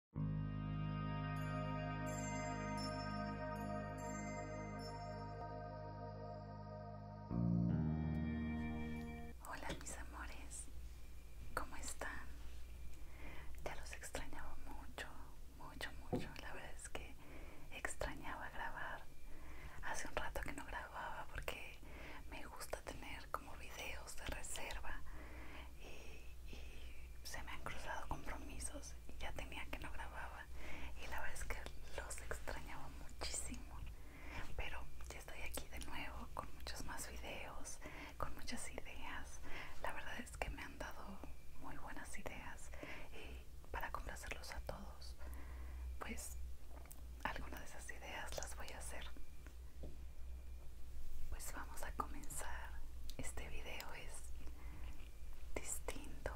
Hola mis amores, ¿cómo están? Ya los extrañaba mucho, mucho, mucho. La verdad es que extrañaba grabar. Hace un rato que no grababa porque me gusta tener como videos de reserva y, y se me han cruzado compromisos y ya tenía que no grababa y la verdad es que los extrañaba muchísimo pero ya estoy aquí de nuevo con muchos más videos con muchas ideas la verdad es que me han dado muy buenas ideas y para complacerlos a todos pues algunas de esas ideas las voy a hacer pues vamos a comenzar. Este video es distinto.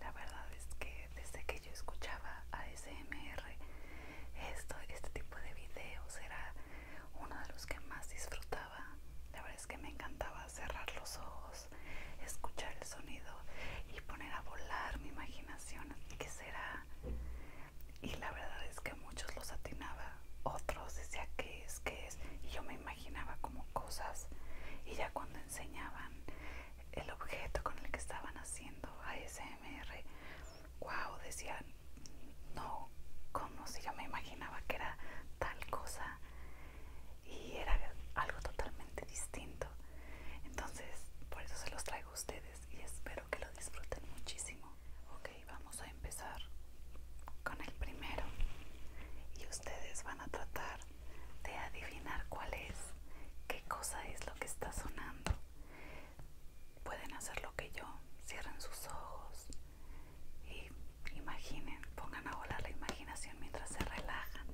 La verdad es que desde que yo escuchaba ASMR, esto, este tipo de videos era uno de los que más disfrutaba. La verdad es que me encantaba cerrar los ojos, escuchar el sonido y poner a volar mi imaginación. que será? y la verdad es que muchos los atinaba, otros decía que es, que es, y yo me imaginaba como cosas y ya cuando enseñaban el objeto con el que estaban haciendo ASMR, wow, decían, no, como si yo me imaginaba que era tal cosa y era algo totalmente distinto. Entonces, por eso se los traigo a ustedes y espero que lo disfruten muchísimo. Ok, vamos a empezar con el primero y ustedes van a tratar de adivinar cuál es, qué cosa es lo que está sonando. Pueden hacer lo que yo, cierren sus ojos y imaginen, pongan a volar la imaginación mientras se relajan.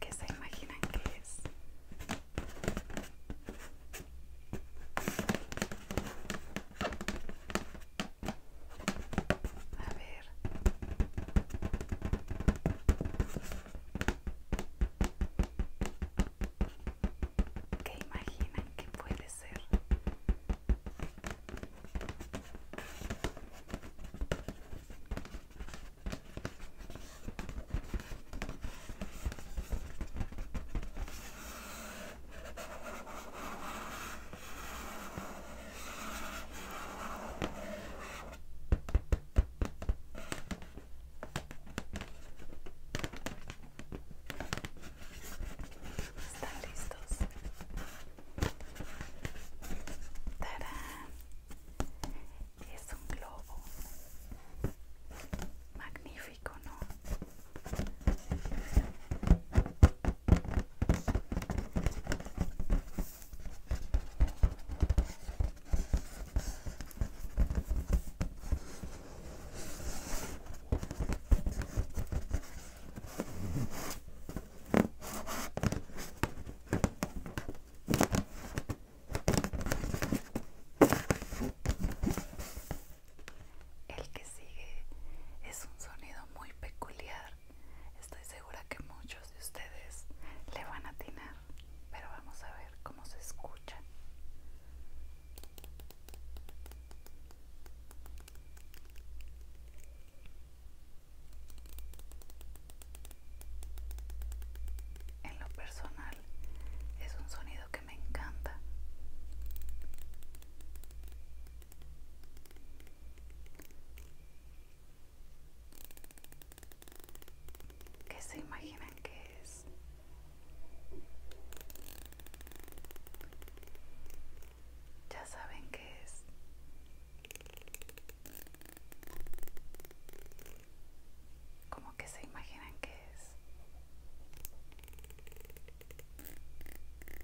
¿Qué se imaginan que es? A ver. ¿Qué imaginan que puede ser? Están listos. ¡Tarán! Es un globo. Magnífico, ¿no? El que sigue es un sonido muy peculiar. Estoy segura que muchos de ustedes le van a atinar, pero vamos a ver cómo se escucha. En lo personal es un sonido que me encanta ¿Qué se imaginan que es? Ya saben que es. Como que se imaginan que es?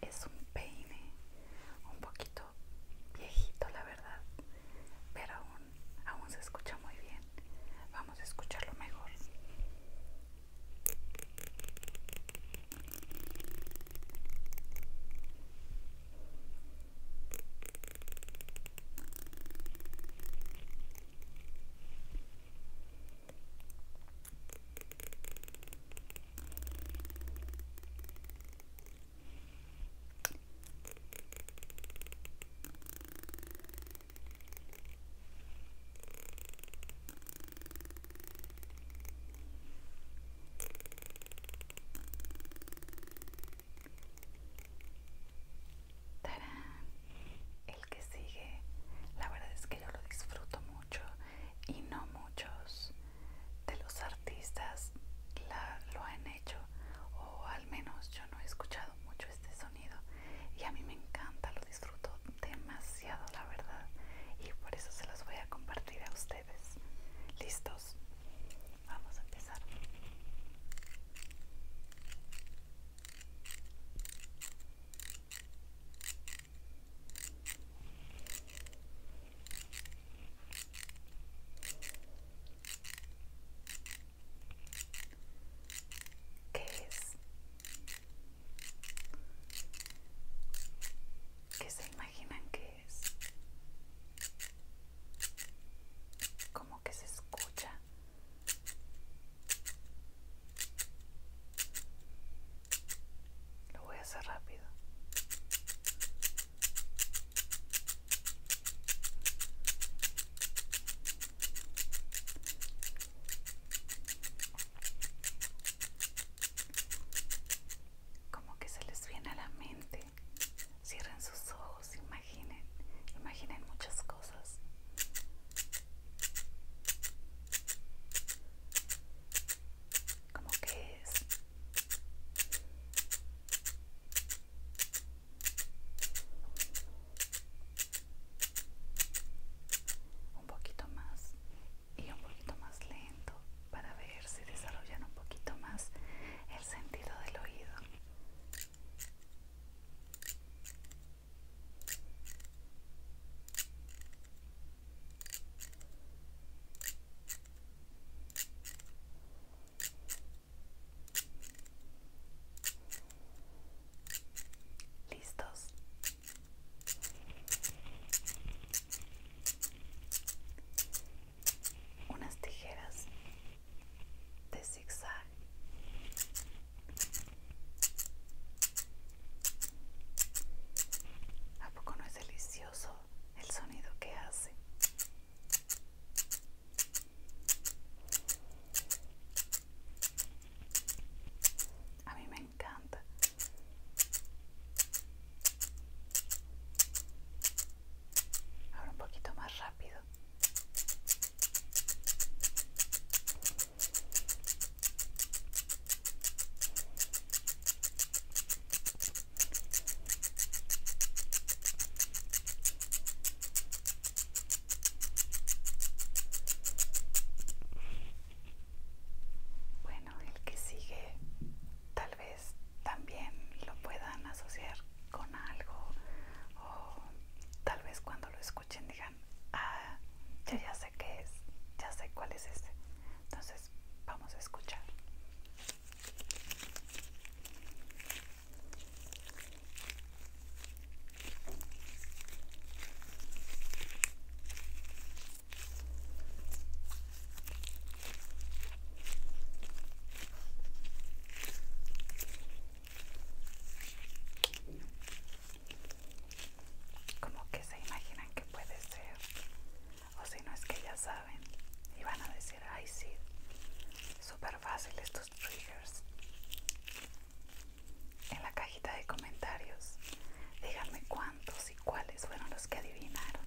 es un peine un poquito viejito la verdad pero aún, aún se escucha muy bien vamos a escucharlo mejor el que sigue, la verdad es que yo lo disfruto mucho y no muchos de los artistas lo han hecho o al menos yo no he escuchado mucho este sonido y a mí me encanta, lo disfruto demasiado la verdad y por eso se los voy a compartir a ustedes. ¿Listos? Vamos a empezar. ¿Qué es? ¿Qué se imaginan que es? ¿Cómo que se escucha? Lo voy a hacer rápido. Como que se les viene a la mente. Cierren sus ojos, imaginen, imaginen muchas cosas como que es un poquito más y un poquito más lento para ver si desarrollan un poquito más el sentido del oído Listos. Unas tijeras de zigzag ¿A poco no es delicioso el sonido que hace? A mí me encanta. Ahora un poquito más rápido. Bueno, el que sigue tal vez también lo puedan asociar con algo o tal vez cuando lo escuchen digan, ah, ya sé qué es, ya sé cuál es este. Entonces vamos a escuchar como que se imaginan que puede ser o si no es que ya saben y van a decir ay sí súper fácil estos triggers en la cajita de comentarios díganme cuántos y cuáles fueron los que adivinaron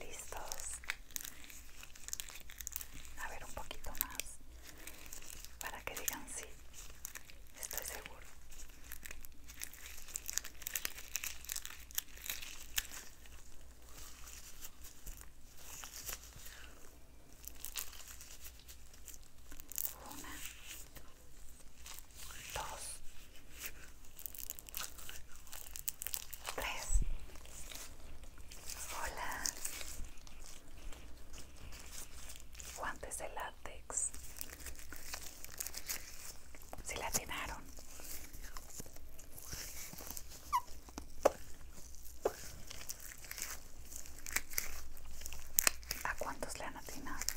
listos a ver un poquito más para que digan sí estoy seguro dos, tres. Hola. Guantes de látex. Se la atinaron? ¿A cuántos le han atinado?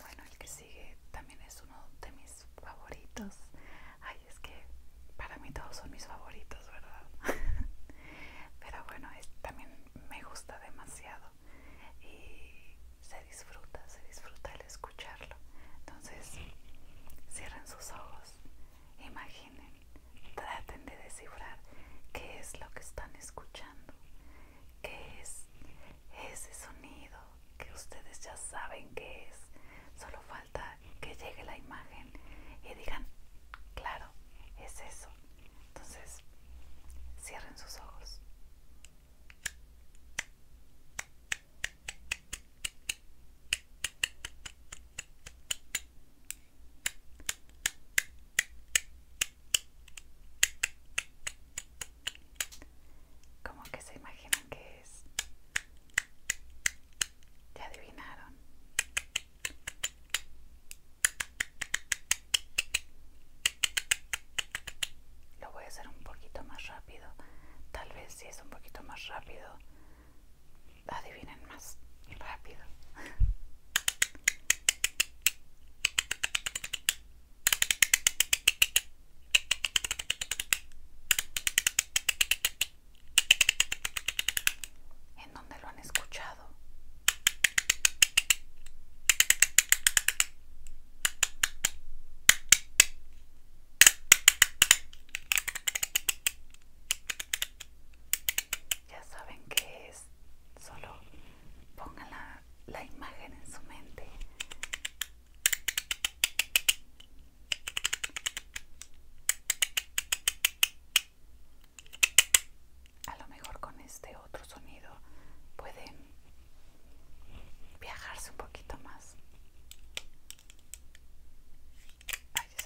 Bueno, el que sigue también es uno de mis favoritos. Ay, es que para mí todos son mis favoritos, ¿verdad? Pero bueno, también me gusta demasiado y se disfruta, se disfruta el escucharlo. Entonces, cierren sus ojos, imaginen, traten de descifrar qué es lo que están escuchando qué es ese sonido que ustedes ya saben qué es. Solo falta que llegue la imagen y digan, claro, es eso. Entonces, cierren sus ojos. ¿Cómo que se imaginan que es? ¿Te adivinaron? Lo voy a hacer un poquito más rápido. Tal vez si es un poquito más rápido, adivinen más rápido. en donde lo han escuchado. Ya saben que solo pongan la, la imagen en su mente a lo mejor con este otro sonido pueden viajarse un poquito más se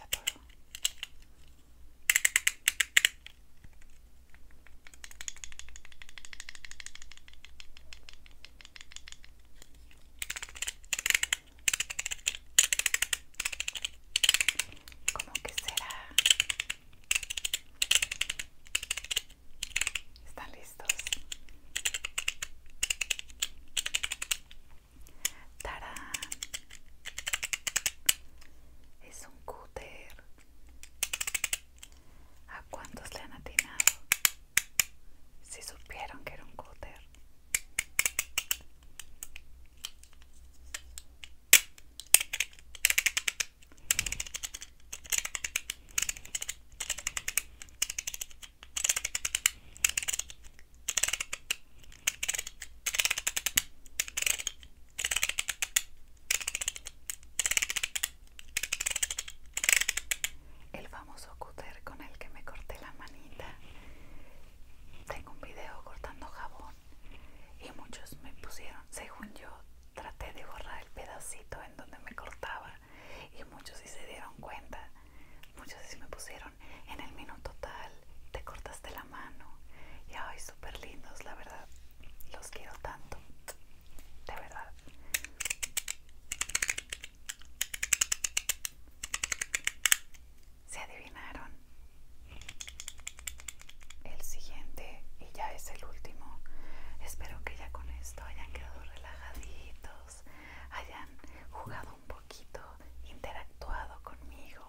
¿Cómo que será? ¿Están listos? Tarán. Es un cúter. ¿A cuántos le han atinado? Si supieron que era un cúter. El famoso cúter con el que me corté la manita. Tengo un video cortando jabón y muchos me pusieron, según yo, traté de borrar el pedacito en donde me cortaba y muchos sí se dieron cuenta. Muchos sí me pusieron en el minuto tal te cortaste la mano y hoy súper lindos la verdad los quiero tanto de verdad se adivinaron el siguiente y ya es el último espero que ya con esto hayan quedado relajaditos hayan jugado un poquito interactuado conmigo.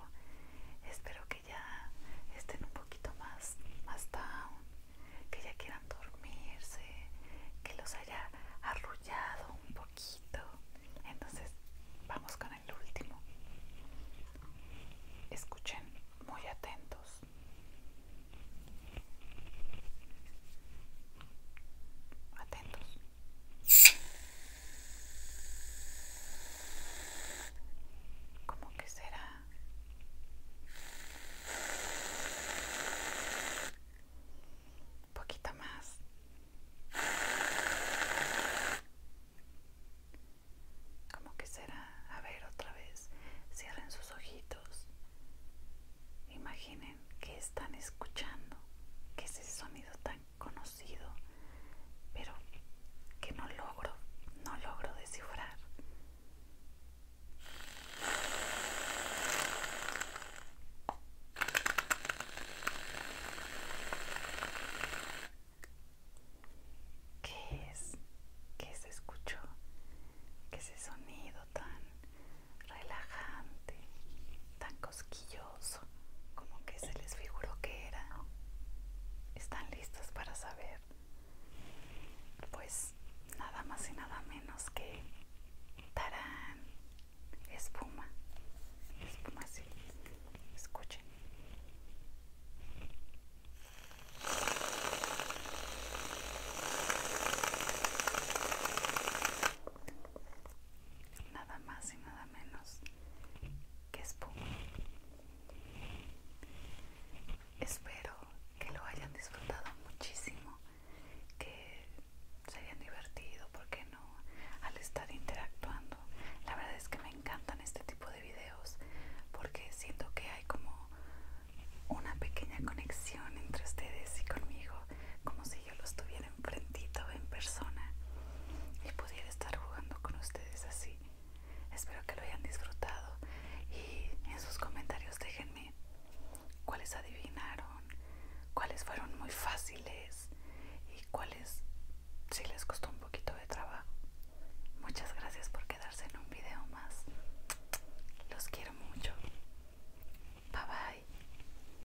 Espero que ya estén un poquito más, más down, que ya quieran dormirse, que los haya arrullado un poquito. Entonces, vamos con el último. Escuchen muy atentos. Atentos. ¿Cómo que será? Un poquito más. ¿Cómo que será? A ver, otra vez. Cierren sus ojitos. Imaginen que están escuchando. ¿Qué es ese sonido tan conocido, pero que no logro, no logro descifrar. ¿Qué es? ¿Qué se escuchó? ¿Qué ese sonido tan relajante, tan cosquilloso? como que se les figuró que era. ¿Están listos para saber? Pues nada más y nada menos que tarán, espuma, espuma sí escuchen nada más y nada menos que espuma. Espero que lo hayan disfrutado muchísimo, que se hayan divertido, ¿por qué no? Al estar interactuando. La verdad es que me encantan este tipo de videos porque siento que hay como una pequeña conexión entre ustedes y conmigo, como si yo los tuviera enfrentito en persona y pudiera estar jugando con ustedes así. Espero que lo hayan disfrutado y en sus comentarios déjenme cuáles adivinaron, cuáles fueron muy fáciles y cuáles si les costó un poquito de trabajo. Muchas gracias por quedarse en un video más. Los quiero mucho. Bye bye.